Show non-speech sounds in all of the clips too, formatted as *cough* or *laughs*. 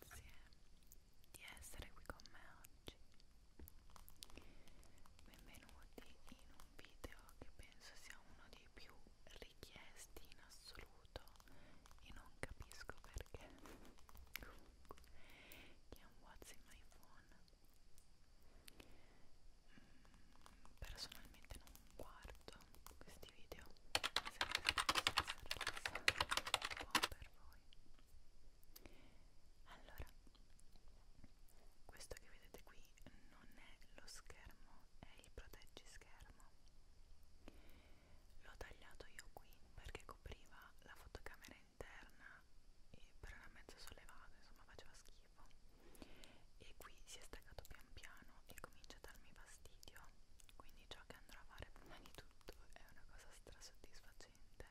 grazie di essere qui con me oggi benvenuti in un video che penso sia uno dei più richiesti in assoluto e non capisco perché comunque che è un what's in my phone mm, personalmente non guardo questi video mi sembra abbastanza rilassante buon per voi allora questo che vedete qui non è lo schermo è il proteggischermo l'ho tagliato io qui perché copriva la fotocamera interna e però era mezzo sollevato insomma faceva schifo e qui si è staccato pian piano e comincia comincia a darmi fastidio quindi ciò che andrò a fare prima di tutto è una cosa strasoddisfacente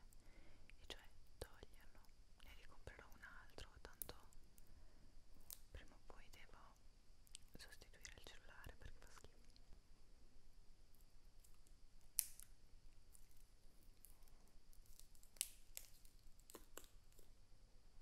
e cioè toglierlo ne ricomprerò un altro tanto prima o poi devo sostituire il cellulare perché fa schifo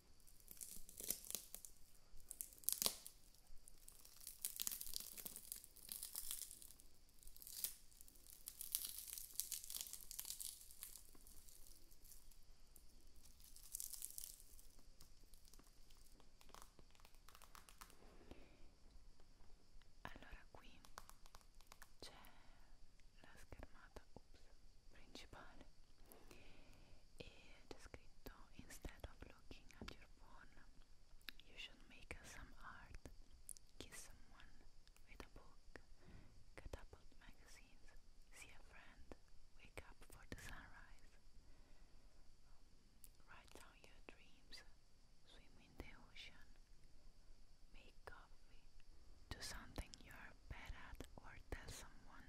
Allora qui c'è la schermata ups, principale Instead of looking at your phone, you should make some art, kiss someone with a book, get up magazines, see a friend, wake up for the sunrise, write down your dreams, swim in the ocean, make coffee, do something you're bad at or tell someone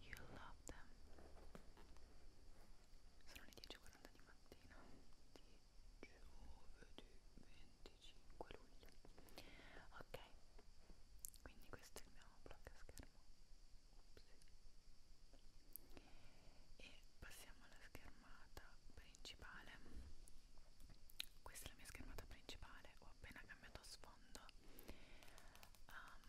You love them. Sono le 10.40 di mattina di giovedì 25 luglio. Ok, quindi questo è il mio blocco schermo. E passiamo alla schermata principale. Questa è la mia schermata principale. Ho appena cambiato sfondo um,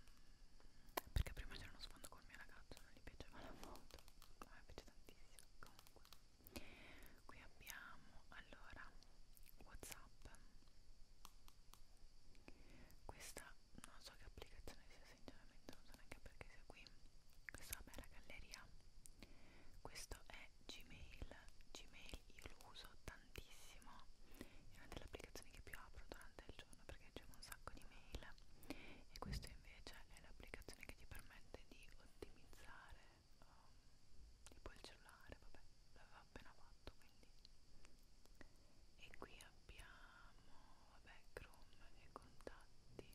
perché prima c'era uno sfondo col mio ragazzo non gli piaceva la foto a me piace tantissimo comunque qui abbiamo allora whatsapp questa non so che applicazione sia sinceramente non so neanche perché sia qui questa vabbè la galleria questo è gmail gmail io lo uso da tantissimo è una delle applicazioni che più apro durante il giorno perché c'è un sacco di mail e questo invece è l'applicazione che ti permette di ottimizzare um, tipo il cellulare vabbè l'avevo appena fatto quindi e qui abbiamo vabbè Chrome e contatti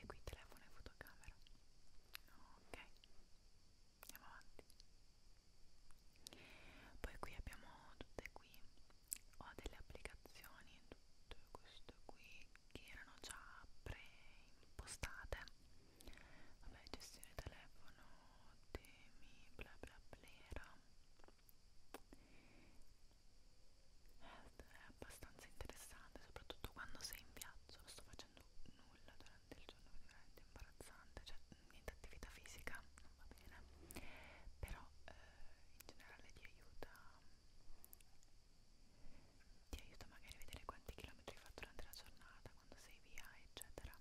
e qui telefono e fotocamera ok andiamo avanti poi qui abbiamo tutte qui ho delle applicazioni tutte queste qui che erano già preimpostate vabbè gestione telefono temi bla bla blera è abbastanza interessante soprattutto quando sei in viaggio non sto facendo nulla durante il giorno è veramente imbarazzante cioè niente attività fisica non va bene però eh, in generale ti aiuta ti aiuta magari a vedere quanti chilometri hai fatto durante la giornata quando sei via eccetera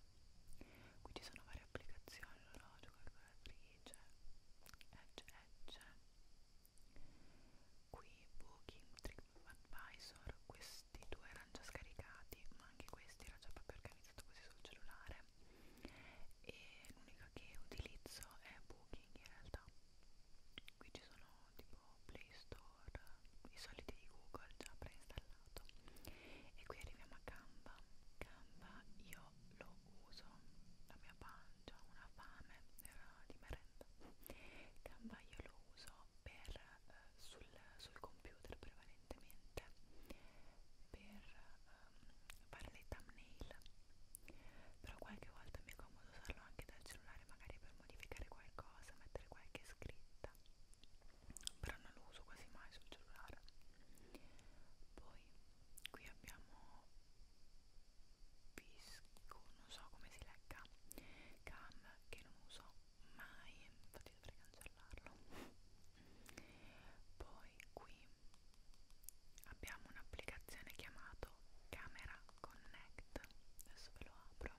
qui ci sono varie applicazioni orologio calcolatrice edge edge qui booking trip advisor questo questi due erano già scaricati ma anche questi era già proprio organizzato così sul cellulare e l'unica che utilizzo è Booking in realtà qui ci sono tipo Play Store i soliti di Google già preinstallato e qui arriviamo a Canva Canva io lo uso la mia pancia, una fame era di merenda Canva io lo uso per eh, sul, sul computer prevalentemente per ehm, fare le thumbnail però qualche volta mi è comodo usarlo anche dal cellulare magari per modificare qualcosa, mettere qualche scritta però non lo uso quasi mai sul cellulare poi qui abbiamo Visco, non so come si legga cam che non uso mai, infatti infatti dovrei cancellarlo poi qui abbiamo un'applicazione chiamata Camera Connect adesso ve lo apro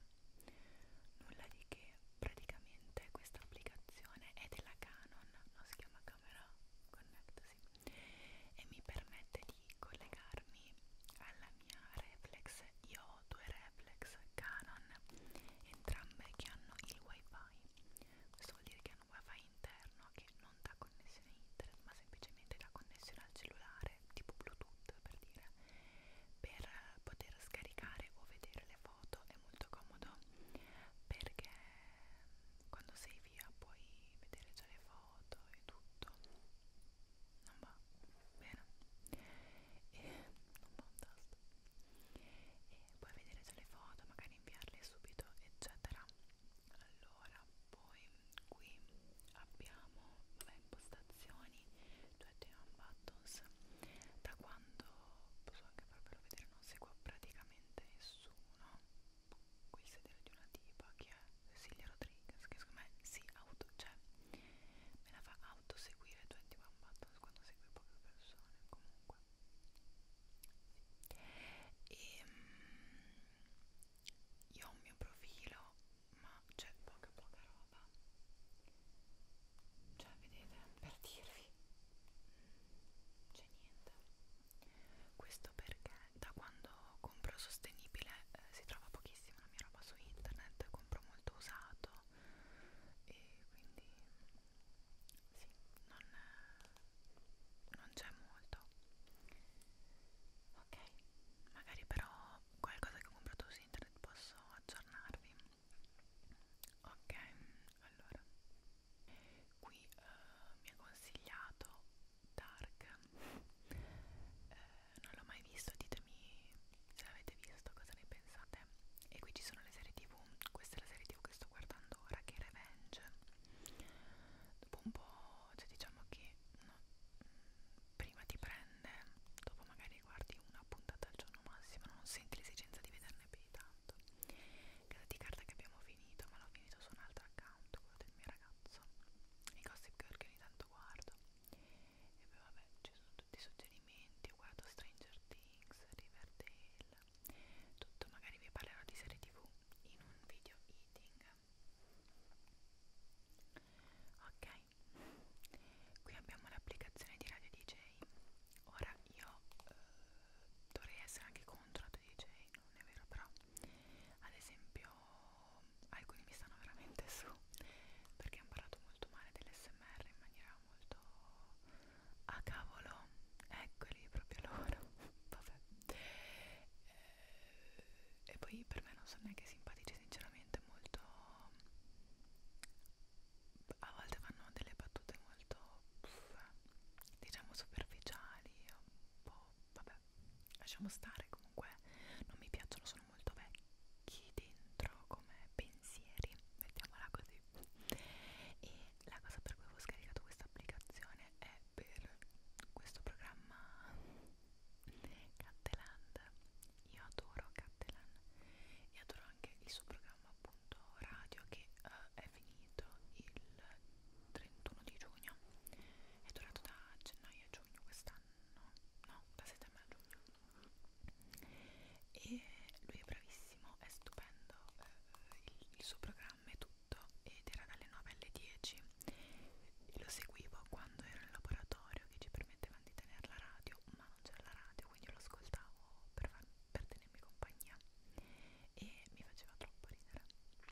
nulla di che praticamente questa applicazione è della Canon no, si chiama Camera Connect sì. e mi permette di collegarmi alla mia reflex io ho due reflex Canon, entrambe che hanno il wifi. Questo vuol dire che hanno un wifi interno che non dà connessione internet, ma semplicemente dà connessione al cellulare, tipo Bluetooth per dire, per poter scaricare o vedere le foto è molto comodo perché quando sei via puoi vedere già le foto e tutto non va bene e un buon tasto e puoi vedere già le foto magari inviarle subito eccetera allora poi qui abbiamo vabbè, impostazioni cioè on buttons da quando posso anche farvelo vedere non seguo praticamente nessuno qui il sedere di una tipa che è Cecilia Rodriguez che secondo me si auto cioè me la fa autoseguire 21 Buttons quando segue poche persone comunque e ehm, mh, io ho un mio profilo ma c'è poca poca roba cioè vedete per dirvi c'è niente questo perché da quando compro sostenibile eh, si trova pochissima la mia roba su internet compro molto usato po' e quindi sì, non, non c'è molto ok, magari però qualcosa che ho comprato su internet posso aggiornarvi ok, allora qui uh, mi ha consigliato Dark eh, non l'ho mai visto, ditemi se l'avete visto, cosa ne pensate. E qui ci sono le serie tv, questa è la serie tv che sto guardando ora che è Revenge. Dopo un po', cioè diciamo che no, prima ti prende, dopo magari guardi una puntata al giorno massimo, non senti l'esigenza di vederne più di tanto. Casa di carta che abbiamo finito, ma l'ho finito su un altro account, quello del mio ragazzo. I gossip girl che ogni tanto guardo e poi vabbè, ci sono tutti i suggerimenti, guardo Stranger Things, Riverdale, tutto, magari vi parlerò di serie tv in un video eating. Ok, qui abbiamo l'applicazione di Radio DJ, ora io eh, dovrei essere anche contro Radio DJ, non è vero però, ad esempio alcuni mi stanno veramente su perché hanno parlato molto male dell'SMR in maniera molto a ah, cavolo eccoli proprio loro *laughs* vabbè eh, e poi per me non sono neanche simpatici sinceramente molto a volte fanno delle battute molto pff, diciamo superficiali un po' vabbè lasciamo stare comunque non mi piacciono sono molto vecchi dentro come pensieri mettiamola così e la cosa per cui avevo scaricato questa applicazione è per questo programma Catteland io adoro Catteland e adoro anche il suo programma appunto radio che uh, è finito il 31 di giugno è durato da gennaio a giugno quest'anno maggio-giugno no, da settembre a giugno e lui è bravissimo, è stupendo eh, il, il suo programma è tutto ed era dalle 9 alle 10 e lo seguivo quando ero in laboratorio che ci permettevano di tenere la radio ma non c'era la radio quindi io lo ascoltavo per, per tenermi compagnia e mi faceva troppo ridere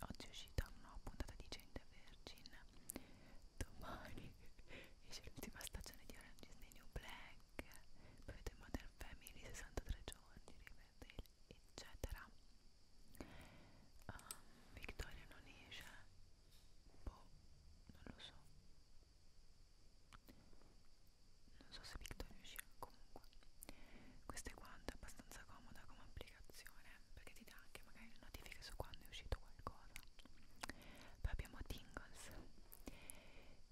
oggi è uscita una nuova puntata di Gente Virgin domani *laughs* esce l'ultima stagione di Orange is the New Black poi vedo Modern Family 63 giorni Riverdale eccetera um, Victoria non esce boh non lo so non so se Victoria uscirà comunque questa è quanto, è abbastanza comoda come applicazione perché ti dà anche magari le notifiche su quando è uscito qualcosa poi abbiamo Tingles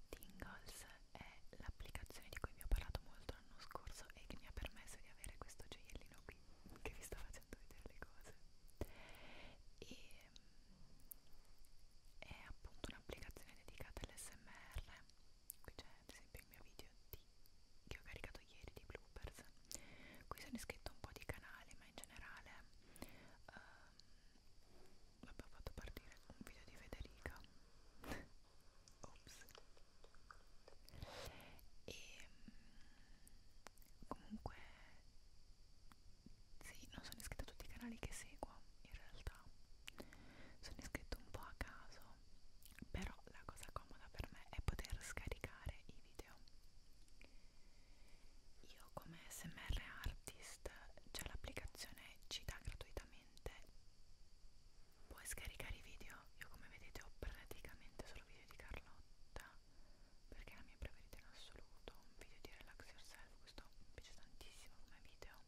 Tingles è l'applicazione di cui vi ho parlato molto l'anno scorso e che mi ha permesso di avere questo gioiellino qui che vi sto facendo vedere le cose e mm, è appunto un'applicazione dedicata all'SMR qui c'è ad esempio il mio video di, che ho caricato ieri di bloopers qui sono iscritto a un po' di canali ma in generale uh, vabbè ho fatto partire un video di Federica *laughs* ops e mm, comunque sì, non sono iscritta a tutti i canali che seguo in realtà sono iscritto un po' a caso però la cosa comoda per me è poter scaricare i video io come smr artist c'è l'applicazione ci dà gratuitamente puoi scaricare i video io come vedete ho praticamente solo video di Carlotta perché è la mia preferita in assoluto un video di relax yourself questo mi piace tantissimo come video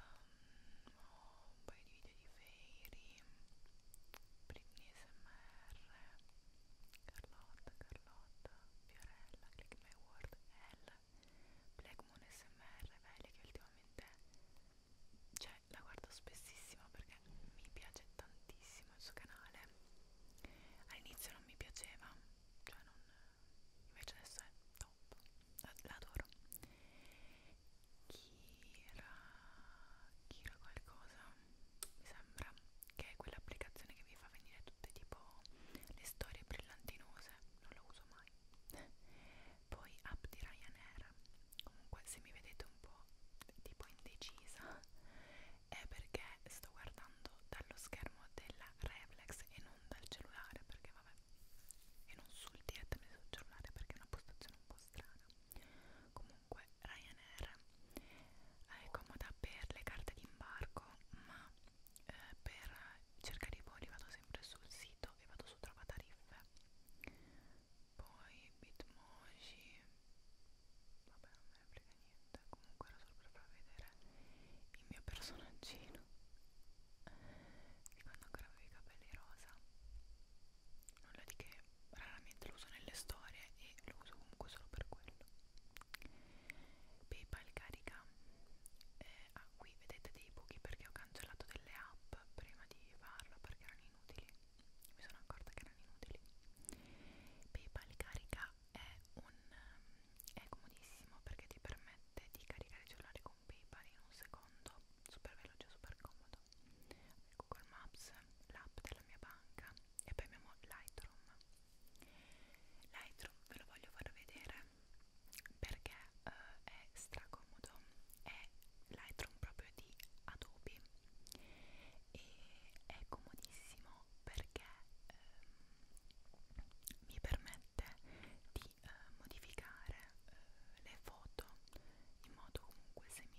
um, un paio di video di Fairy, Britney SMR, Carlotta, Carlotta, Fiorella, Click My World, L, Black Moon SMR, Velia che ultimamente cioè, la guardo spessissimo perché mi piace tantissimo il suo canale. All'inizio non mi piaceva, cioè non invece adesso è top, l'adoro Kira Kira qualcosa mi sembra che è quell'applicazione che vi fa venire tutte tipo le storie brillantinose non lo uso mai poi app di Ryanair comunque se mi vedete un po' tipo indecisa è perché sto guardando dallo schermo della Reflex e non non dal cellulare perché vabbè e non sul direttamente sul cellulare perché è una postazione un po' strana comunque Ryanair è comoda per le carte d'imbarco ma eh, per cercare i voli vado sempre sul sito e vado su trova tariffe poi bitmoji vabbè non me ne frega niente comunque era solo per far vedere il mio personaggino di quando ancora avevo i capelli rosa nulla di che raramente lo uso nelle storie e lo uso comunque solo per quello Paypal carica eh, ah qui vedete dei buchi perché ho cancellato delle app prima di farlo perché erano inutili mi sono accorta che erano inutili Paypal carica è un ehm, è comodissimo perché ti permette di caricare il cellulare con PayPal in un secondo, super veloce, super comodo. Google ecco Maps, l'app della mia banca e poi abbiamo Lightroom. Lightroom ve lo voglio far vedere perché eh, è stracomodo, è Lightroom proprio di Adobe e è comodissimo perché ehm, mi permette di eh, modificare eh, le foto in modo comunque semi,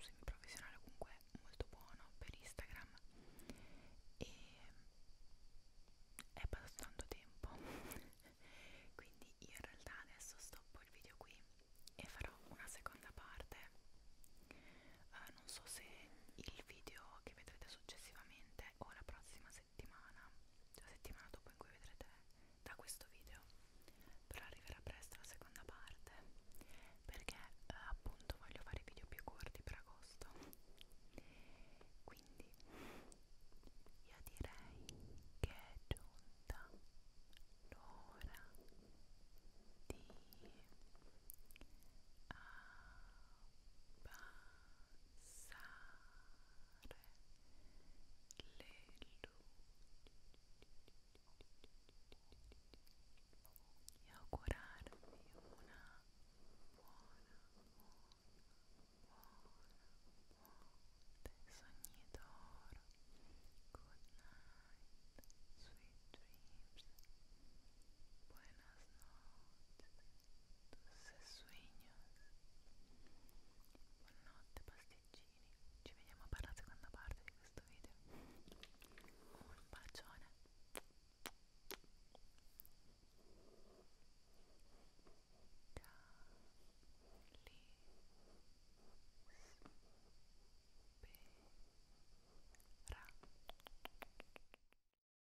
semi professionale comunque molto buono per Instagram e è passato tanto tempo *laughs* quindi io in realtà adesso stoppo il video qui e farò una seconda parte uh, non so se il video che vedrete successivamente o la prossima settimana settimana, cioè la settimana dopo in cui vedrete da questo video, però arriverà presto la seconda parte perché eh, appunto voglio fare video più corti per agosto. Quindi io direi che è giunta l'ora di abbassare ah, abbassare le luci e augurarvi una buona, buona, buona notte sogni good night sweet dreams buenas noches dulces sueños. Buonanotte pasticcini, ci vediamo per la seconda parte di questo video. Un bacione. Cali. Spera.